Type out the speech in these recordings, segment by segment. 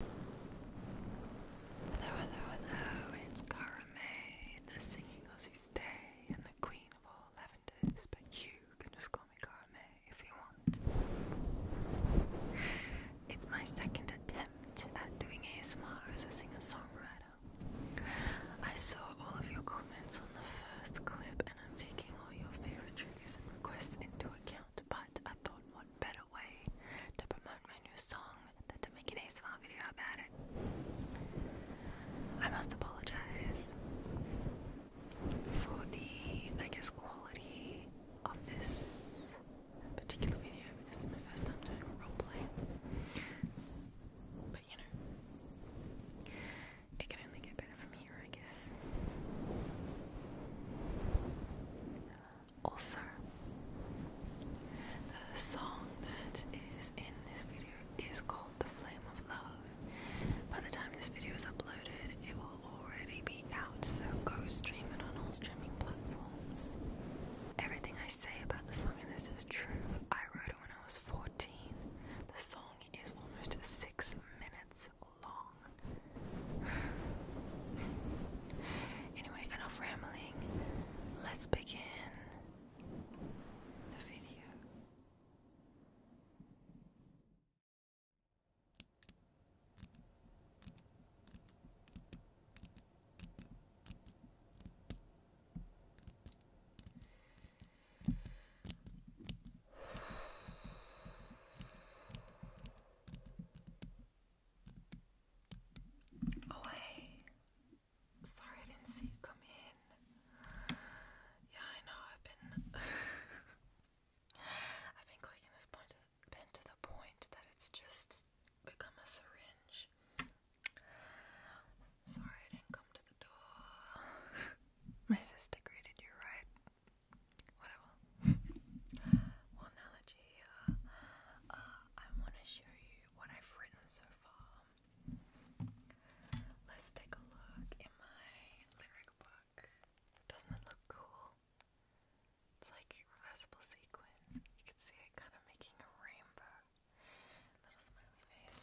Hello, hello, hello, it's Karame, the singing Aussie and the queen of all lavenders, but you can just call me Karame if you want. It's my second attempt at doing ASMR as a singer-songwriter. I saw all of your comments on the first clip, and I'm taking all your favorite triggers and requests into account, but I thought one better way to promote my new song than to make an ASMR video about it. I must apologize for the, I guess, quality of this particular video This is my first time doing a roleplay. But you know, it can only get better from here, I guess ulcer. The song that is in this video is called The Flame of Love. By the time this video is uploaded, it will already be out, so go stream it on all streaming platforms. Everything I say about the song and this is true. I wrote it when I was 14. The song is almost six minutes anyway, enough rambling. Let's begin the video. Oh hey, sorry I didn't see you come in. Yeah, I know I've been I've been clicking this point been to the point that it's just become a syringe. Sorry I didn't come to the door. My sister greeted you right whatever. well, you uh, uh, I want to show you what I've written so far. Let's take a look in my lyric book. Doesn't it look cool? It's like reversible sequence. You can see it kind of making a rainbow. Little smiley face.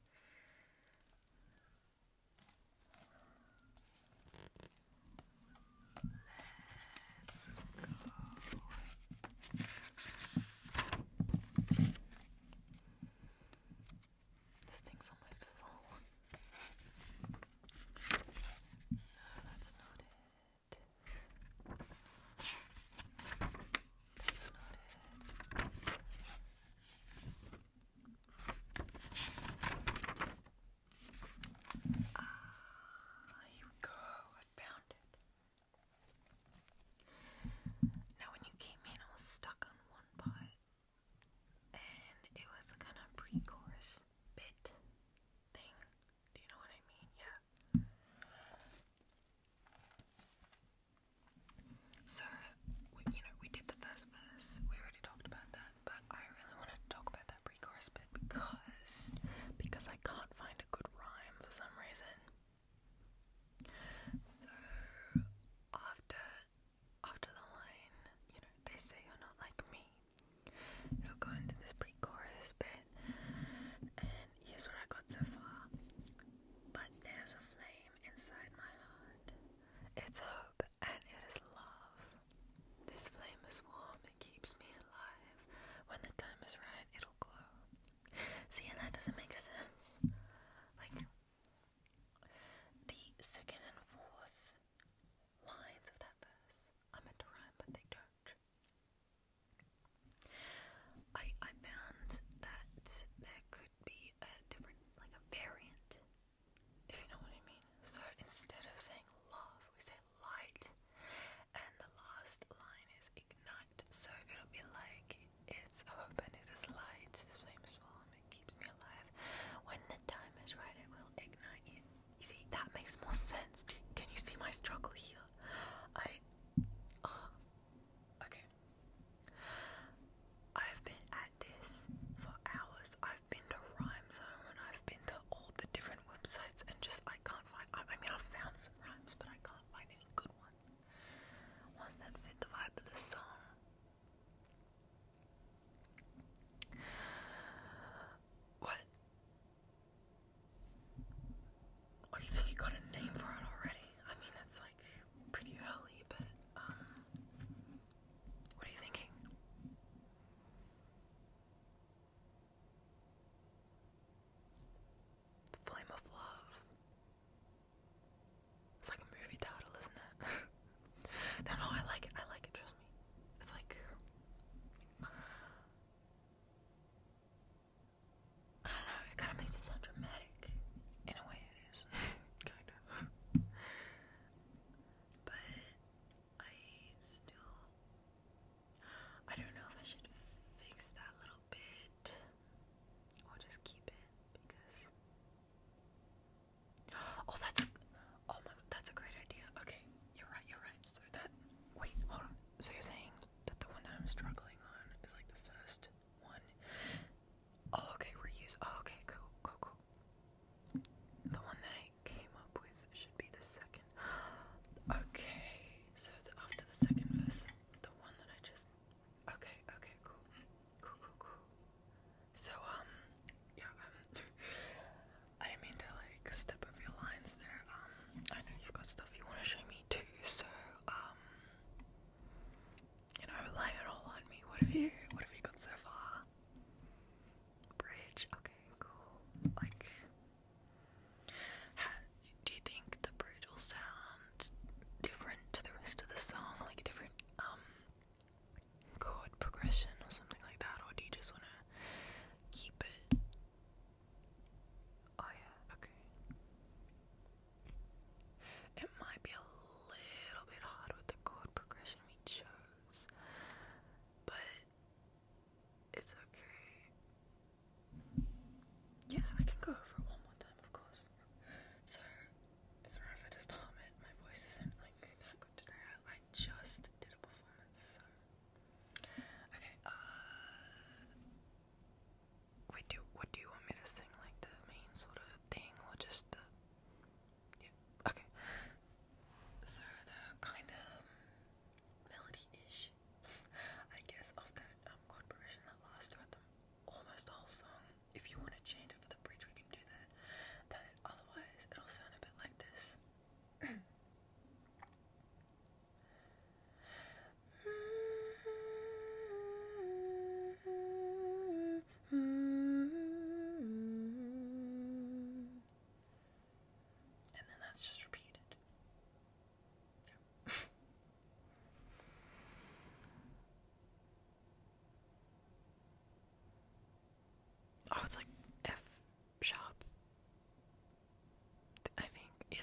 Let's go. This thing's almost full. No, that's not it. That's not it. Ah, here go. I found it. Now, when you came in, I was stuck on one part, and it was a kind of pre chorus bit thing. Do you know what I mean? Yeah. So, we, you know, we did the first verse, we already talked about that, but I really wanted to talk about that pre chorus bit because, because I can't find a good rhyme for some reason. So, after, after the line, you know, they say you're not like me, it'll go into this pre chorus bit, and here's what I got so far. But there's a flame inside my heart. It's hope and it is love. This flame is warm, it keeps me alive. When the time is right, it'll glow. See, that doesn't make sense. Like, the second and fourth lines of that verse, I meant to rhyme, but they don't. I I found that there could be a different like a variant, if you know what I mean. So instead of saying love, we say light, and the last line is ignite. So it'll be like it's open, it is light, it's flames warm, it keeps me alive. When the time is right, it will ignite you. You see, that makes more sense. Can you see my struggle here? I. Okay. I've been at this for hours. I've been to Rhyme Zone. I've been to all the different websites and just I can't find. I, mean, i found some rhymes, but I can't find any good ones. Ones that fit the vibe of the song. What? Oh, think you got a name for it already? I mean, that's like pretty early, but um, what are you thinking? Flame of Love. It's like a movie title, isn't it? no, no, I like it. I like it. Trust me. It's like. I don't know, it kind of makes it sound dramatic. In a way, it is. kind of. but I still. I don't know if I should fix that little bit or just keep it because. Oh, that's. A, oh my god, that's a great idea. Okay, you're right, you're right. So that. Wait, hold on. So you that the one that I'm struggling on is like the first one. Oh, okay, reuse. Oh, okay, cool, cool, cool. The one that I came up with should be the second. Okay, so the, after the second verse, the one that I just. Okay, okay, cool, cool, cool, cool. So um, yeah, um, I didn't mean to like step over your lines there. Um, I know you've got stuff you want to show me 22, so, um, you know, lay it all on me. What have you, what have you got so far? Bridge, okay, cool. Like, do you think the bridge will sound different to the rest of the song? Like a different, um, chord progression or something like that? Or do you just want to keep it Oh yeah, okay. It might be a little bit hard with the chord progression we chose, but it's okay. Yeah, I can go over it one more time, of course. So, sorry if I just harm it. My voice isn't like that good today. I, just did a performance, Okay, uh, Wait, do what do you want me to sing? Like the main sort of thing, or just the? Yeah. Okay. So the kind of melody-ish, I guess, of that um, chord progression that last throughout the, almost the whole song. If you want to change it for the bridge, we can do that. But otherwise, it'll sound a bit like this. And then that's just repeated. oh, it's like F shop. I think it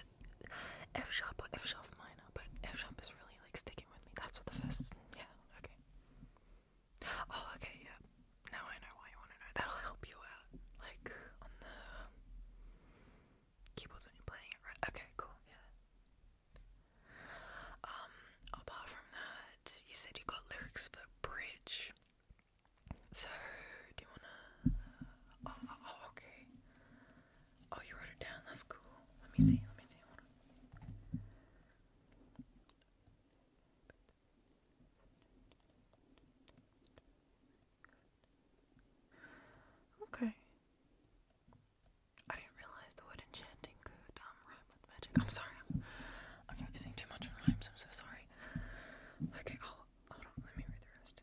F shop F shop minor, but F shop is really like sticking with me. That's what the first yeah, okay. Oh okay, yeah. Now I know why you wanna know. That'll help you out. Like on the keyboards when you're playing it, right? Okay, cool, yeah. Um, apart from that, you said you got lyrics for bridge. So, do you wanna? Oh, oh, oh, okay. Oh, you wrote it down. That's cool. Let me see. Let me see. Okay. I didn't realize the word enchanting could um rhyme with magic. I'm sorry. I'm, focusing too much on rhymes. I'm so sorry. Okay. Oh, Let me read the rest.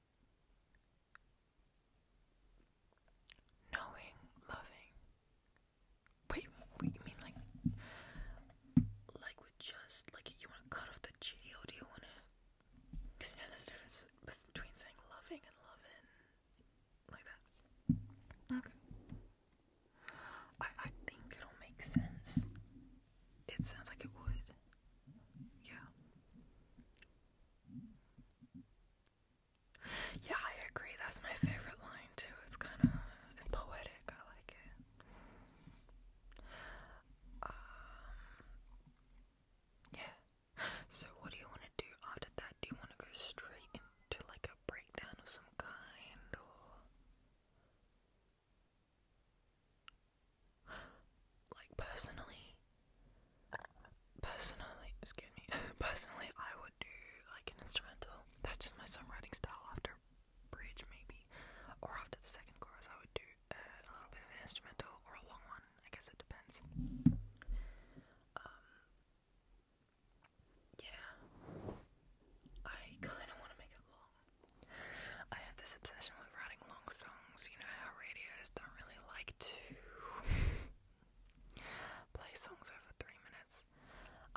knowing, loving. Wait, wait, you mean like, like with just like you want to cut off the G or do you want to? Because you know there's a difference between saying loving and loving, like that. Okay. I I think it'll make sense. It sounds like it would. Yeah. Yeah, I agree. That's my favorite line too. It's kind of it's poetic. I like it. Um, yeah. So what do you want to do after that? Do you want to go straight into like a breakdown of some kind, or like personally, personally, excuse me, personally, I would do like an instrumental. That's just my songwriting style. After bridge, maybe, or after the second chorus, I would do uh, a little bit of an instrumental or a long one. I guess it depends. Um, yeah, I kind of want to make it long. I have this obsession with writing long songs. You know how radios don't really like to play songs over three minutes.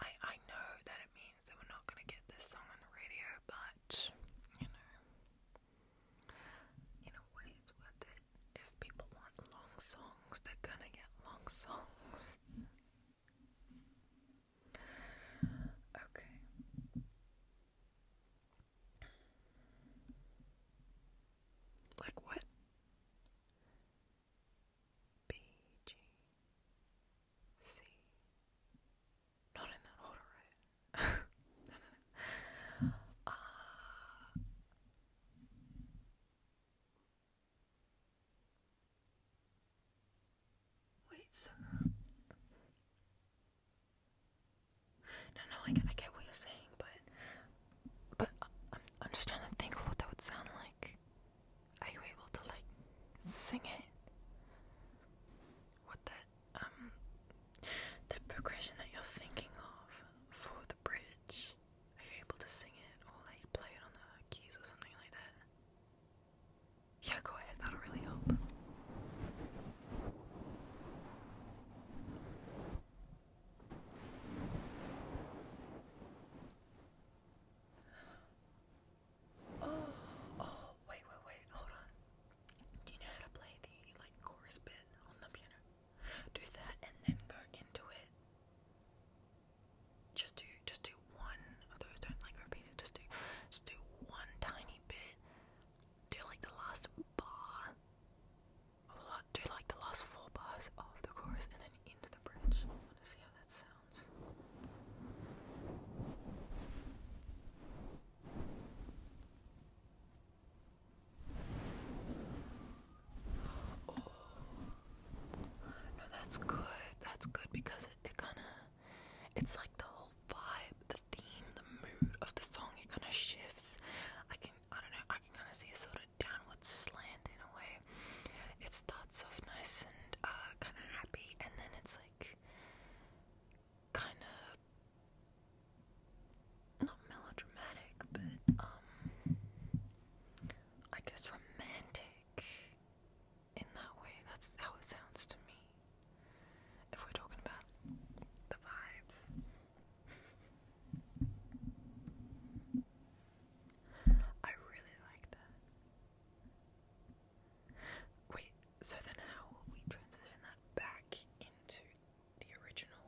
I I know that it means that we're not gonna get this song on the radio, but you know, in a way, it's worth it. If people want long songs, they're gonna get long songs. Okay. Like what? B G C. Not in that order, right? no, no, no. Uh, Wait, so... No, no, I, I get what you're saying, but... But I'm, I'm just trying to think of what that would sound like. Are you able to, like, sing it? What that, um... The progression that you're thinking of for the bridge. Are you able to sing it or, like, play it on the keys or something like that? Yeah, go ahead. That'll really help. Oh, oh, wait, wait, wait, hold on. Do you know how to play the like chorus bit on the piano? Do that and then go into it. Just do, just do one of those. Don't like repeat it. Just do, just do one tiny bit. Do like the last bar. do like the last four bars of the chorus and then into the bridge. I want to see how that sounds. Oh, no, that's good. That's good because it, it kind of it's like the whole vibe, the theme, the mood of the song. It kind of shifts. I can, I don't know, I can kind of see a sort of downward slant in a way. It starts off nice and uh, kind of happy, and then it's like kind of. Not melodramatic, but um, I guess romantic in that way. That's how it sounds to me. If we're talking about the vibes. I really like that. Wait, so then how will we transition that back into the original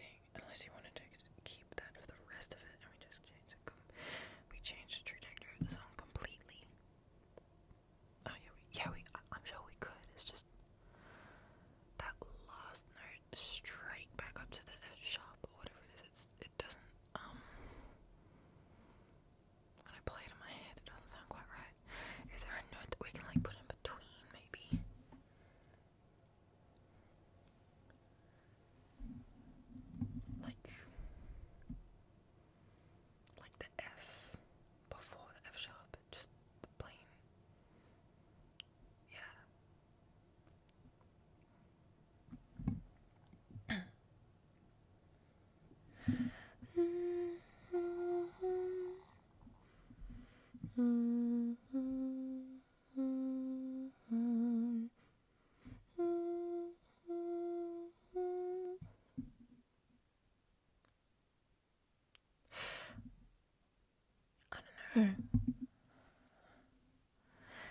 thing? Unless you wanted to keep that for the rest of it and we just change we change the trajectory of the song completely. Oh yeah, yeah, we. I, am sure we could. It's just that last note straight back up to the F sharp or whatever it is. It's it doesn't. Um, when I play it in my head, it doesn't sound quite right. Is there a note we can like put in between, maybe? Like like the F before the F sharp, just the plain. Yeah. I don't know.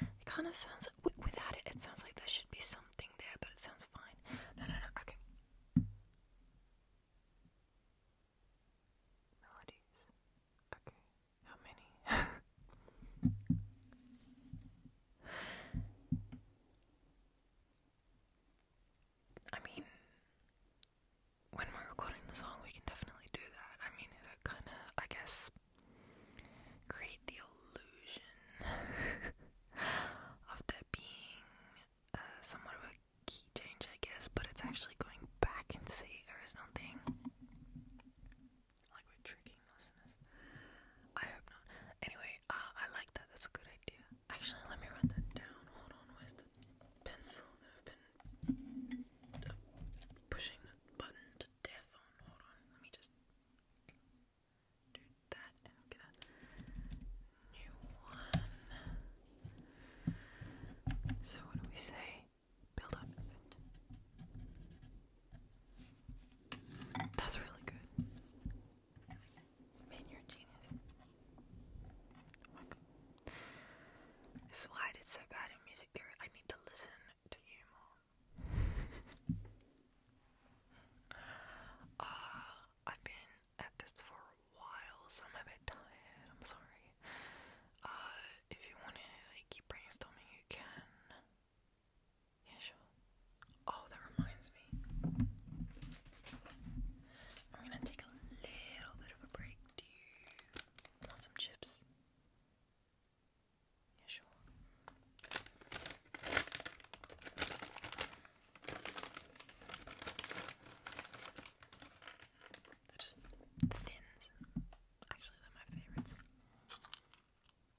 It kind of sounds w- without it. It sounds like there should be something there, but it sounds fine. No, no, no. Okay. Melodies. Okay. How many? I mean, when we're recording the song, we can definitely do that. I mean, it kind of, I guess, create the illusion of there being uh, somewhat of a key change, I guess, but it's actually going back into the original thing. Like we're tricking listeners. I hope not. Anyway, uh, I like that. That's a good idea. Actually, let me write that down. Hold on, with the pencil that I've been uh, pushing the button to death on? Hold on, let me just do that and get a new one. So, what do we say? Build up that's really good. Man, you're genius. Oh why did so bad in music theory. I need to listen to you more. Uh, I've been at this for a while, so I'm a bit tired. I'm sorry. Uh, if you want to keep brainstorming, you can. Yeah, sure. Oh, that reminds me. I'm gonna take a little bit of a break. Do want some chips? Yeah, sure. They're just thins. Actually, they're my favorites. Go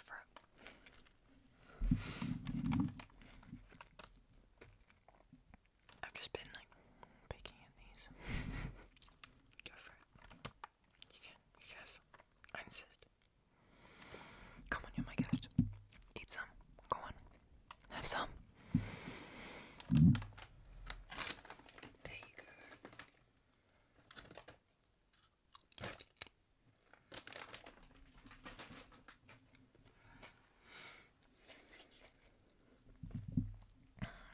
for it. I've just been like picking at these. Go for it. You can, you can have some. I insist. Come on, you're my guest. Eat some. Go on. Have some.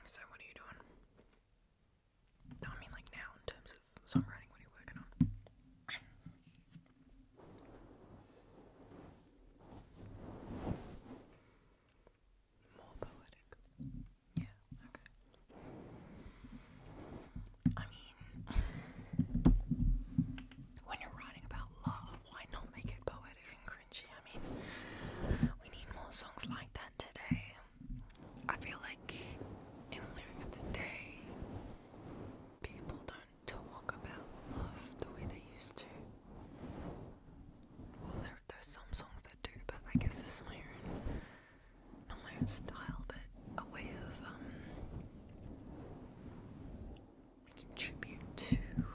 So, what are you doing? I mean, like now, in terms of songwriting, what are you working on? More poetic. Yeah, okay. I mean, when you're writing about love, why not make it poetic and cringy? I mean, we need more songs like that today. I feel like in lyrics today, people don't to talk about love the way they used to. Well, there, there's some songs that do, but I guess this my own, my own style, but a way of um, making to the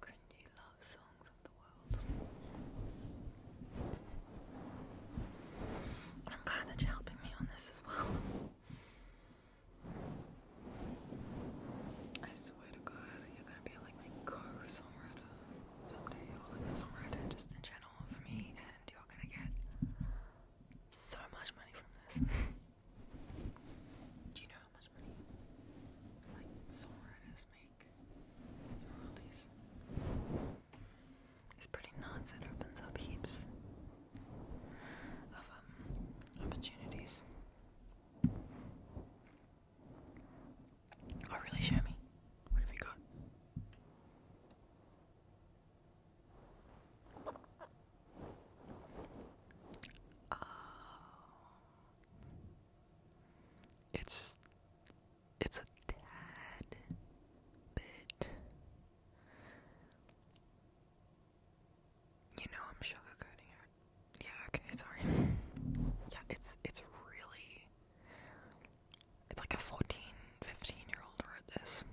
cringy love songs of the world. I'm glad that you're helping me on this as well. I swear to God, you're gonna be like my co-songwriter someday, or a general for me, and you're gonna get so much money from this. Do you know how much money like songwriters make royalties? It's pretty nuts. It opens up heaps of um, opportunities. Oh, really? Show What have you got? Oh. It's it's a tad bit. You know I'm sugarcoating it. Yeah, okay, sorry. yeah, it's it's really it's like a 14, year old read this.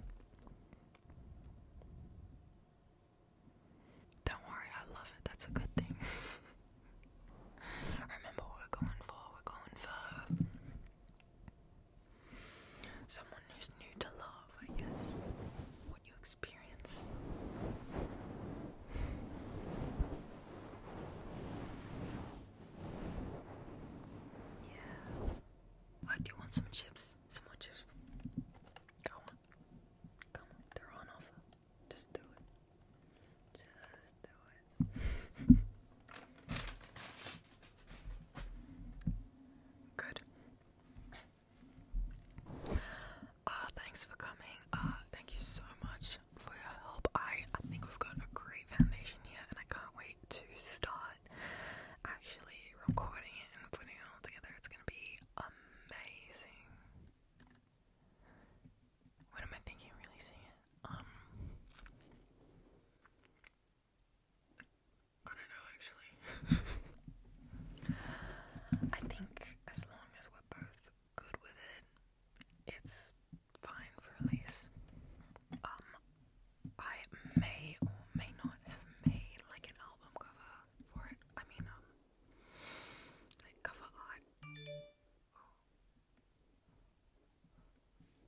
Don't worry, I love it. That's a good thing. Remember, we're going for, we're going for Someone who's new to love, I guess. What you experience. Yeah. I do want some chips. Some chips. Come on. Come on. They're on offer. Just do it. Just do Good. Uh, thanks for coming. Uh, thank you so much for your help. I think we've got a great foundation here, and I can't wait to start actually recording it and putting it all together. It's gonna be amazing. What am I thinking releasing it? Um I don't know actually. I think as long as we're both good with it, it's fine for release. Um I may or may not have made like an album cover for it. I mean um like cover art.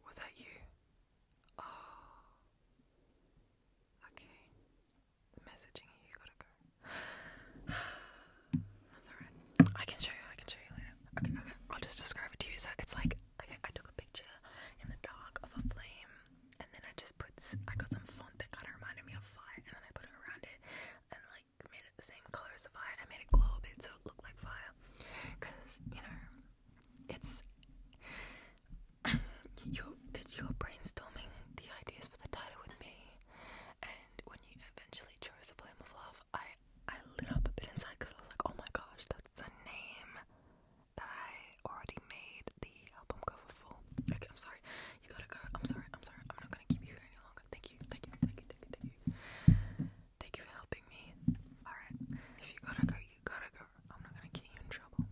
Was that you? Oh. Okay. The messaging you gotta go. That's alright. I can show you, I can show you later. Okay, okay. I'll just describe it to you. it's like, okay, I took a picture in the dark of a flame, and then I just put, I got some font that kind of reminded me of fire, and then I put it around it, and like made it the same color as fire, I made it glow a bit so it looked like fire. Cause you know, it's you because you brainstorming the ideas for the title with me, and when you eventually chose the Flame of Love, I I lit up a bit inside because I was like, oh my gosh, that's the name that I already made the album cover for. Okay, I'm sorry, you gotta go. I'm sorry, I'm sorry, I'm not gonna keep you here any longer. thank you, thank you, thank you, thank you. Thank you for helping me. Alright. If you gotta go, you gotta go. I'm not gonna get you in trouble.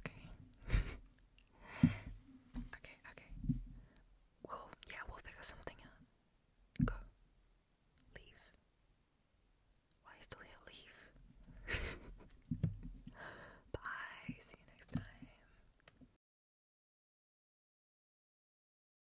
Okay. okay, okay. Well, yeah, we'll figure something out. Go. Leave. Why are you Leave. Bye. See you next time.